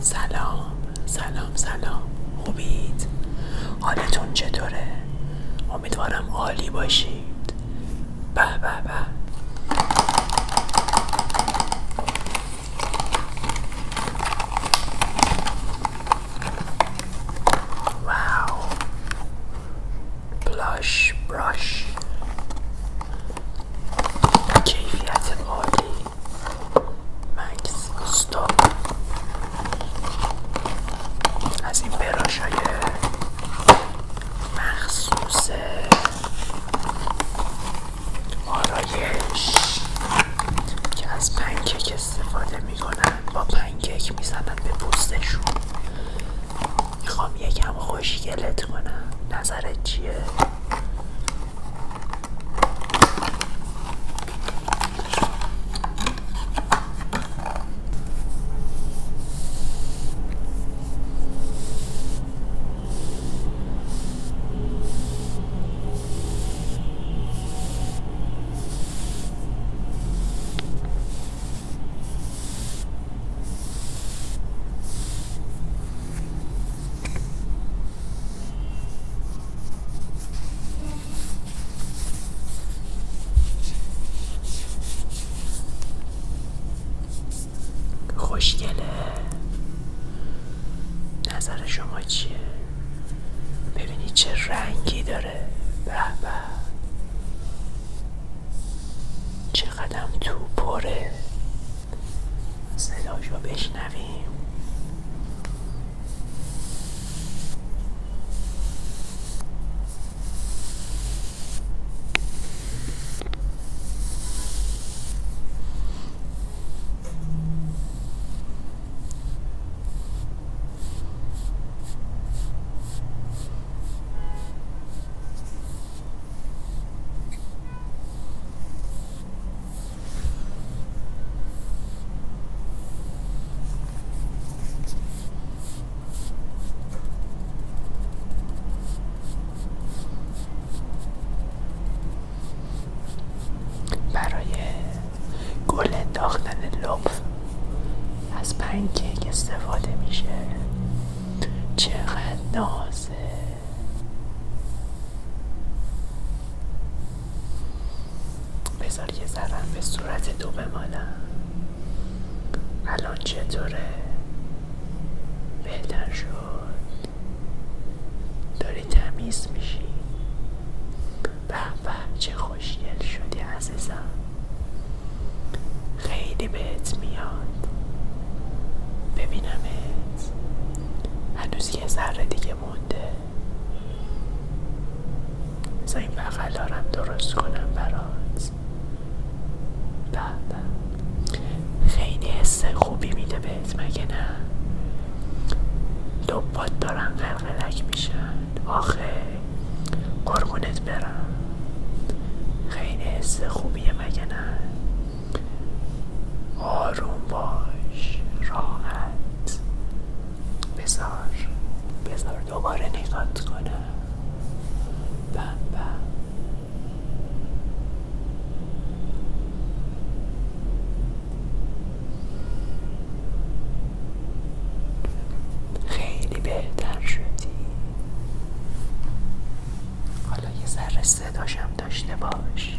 سلام سلام سلام خوبید حالتون چطوره امیدوارم عالی باشید با با با واو بلش براش کیفیت عالی مکس گستان از این براش مخصوص آرایش که از پنکک استفاده میکنن با پنکک میزنن به پوستشون میخوام یکم خوشگلت کنم نظرت چیه؟ خوشگله نظر شما چیه؟ ببینی چه رنگی داره به به چقدم تو پر صداش رو بشنویم برای گل انداختن لطف از پنکیک استفاده میشه چقدر نازه بذار یه ذرم به صورت دو بمالم الان چطوره بهتر شد داری تمیز میشی ببه چه خوشگل شدی عزیزم خیلی بهت میاد ببینمت هنوز یه ذره دیگه مونده بذار بغل دارم درست کنم برات خیلی حس خوبی میده بهت مگه نه دارم دارم ملق میشد آخه قربونت برم خیلی حس خوبیه مگه نه آروم باش راحت بزار بزار دوباره نگات کنم بم خیلی بهتر شدی حالا یه ذره صداشم داشته باش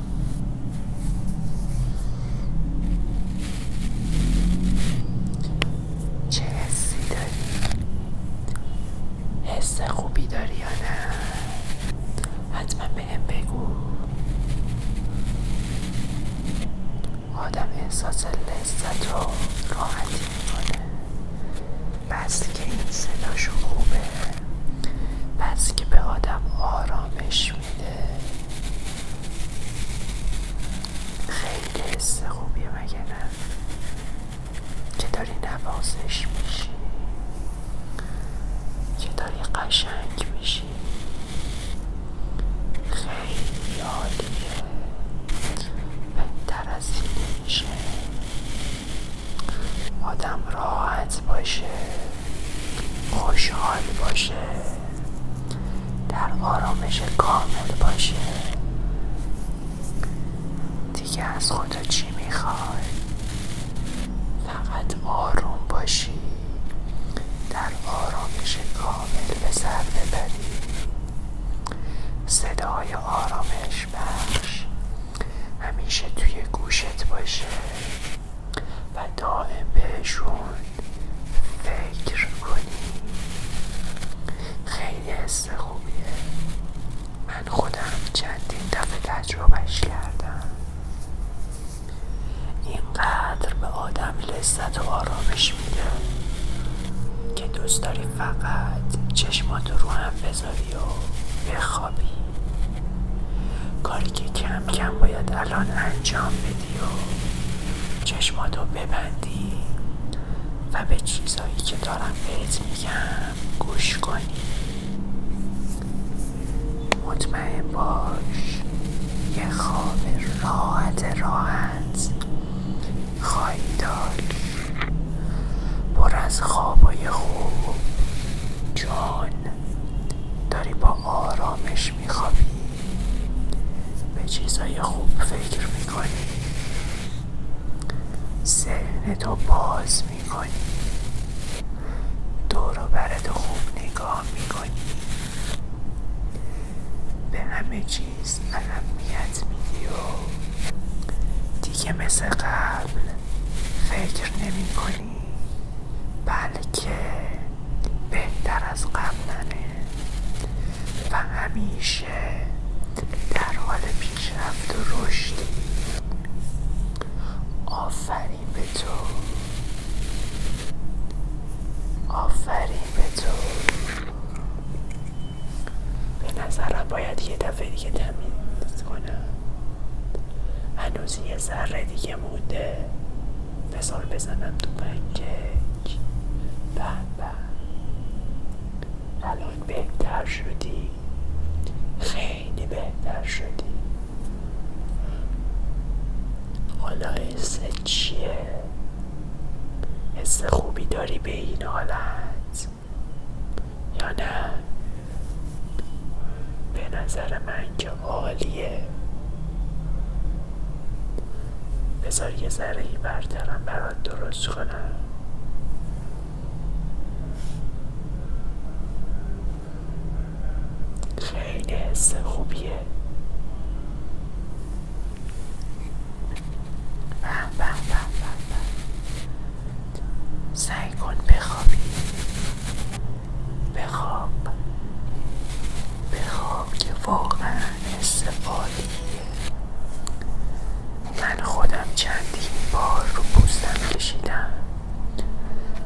چه حسی داری؟ حس خوبی داری یا نه؟ حتما به بگو آدم احساس لذت رو راحتی میکنه بس که این صداشو خوبه پس که به آدم آرامش میده خیلی حس خوبیه مگه نه که داری نوازش میشی که داری قشنگ میشی خیلی عالیه بهتر از آدم راحت باشه خوشحال باشه در آرامش کامل باشه دیگه از خدا چی میخوای فقط آروم باشی در آرامش کامل به سر ببری صدای آرامش بخش همیشه توی گوشت باشه و دائم بهشون فکر کنی خیلی حس خوبیه من خودم چندین دفعه تجربهش کردم اینقدر به آدم لذت و آرامش میده که دوست داری فقط چشمات رو هم بذاری و بخوابی کاری که کم کم باید الان انجام بدی و چشماتو ببندی و به چیزهایی که دارم بهت میگم گوش کنی مطمئن باش یه خواب راحت راحت خواهی داشت بر از خوابای خوب جان داری با آرامش میخوابی به چیزهای خوب فکر میکنی ذهن تو باز میکنی دور و خوب نگاه میکنی به همه چی نیز اهمیت میدی و دیگه مثل قبل فکر نمی کنی بلکه بهتر از قبلنه و همیشه در حال پیشرفت و رشدی آفرین به تو آفرین به تو به نظرم باید یه دفعه دیگه تمیز کنم هنوز یه ذره دیگه موده بزنم تو پنکک به الان بهتر شدی خیلی بهتر شدی حالا حس چیه حس خوبی داری به این حالت یا نه به نظر من که عالیه بذار یه ذره ای برترم برات درست کنم خیلی حس خوبیه بهم سعی کن بخوابی بخواب بخواب که واقعا استفاده من خودم چندین بار رو پوستم کشیدم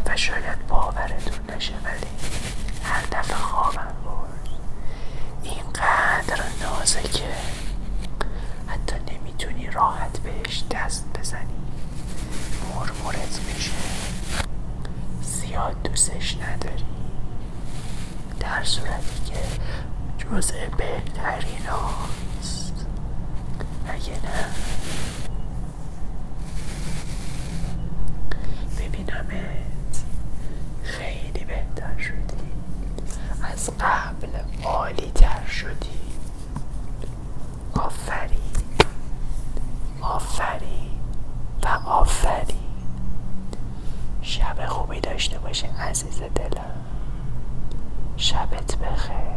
و شاید باورتون نشه ولی هر دفعه خوابم برد اینقدر نازه که حتی نمیتونی راحت بهش دست بزنی مرمورت میشه زیاد دوستش نداری در صورتی که جزء بهترین هاست اگه نه ببینمت خیلی بهتر شدی از قبل عالی تر شدی آفرین آفرین و آفرین شب خوبی داشته باشه عزیز دلم شبت بخیر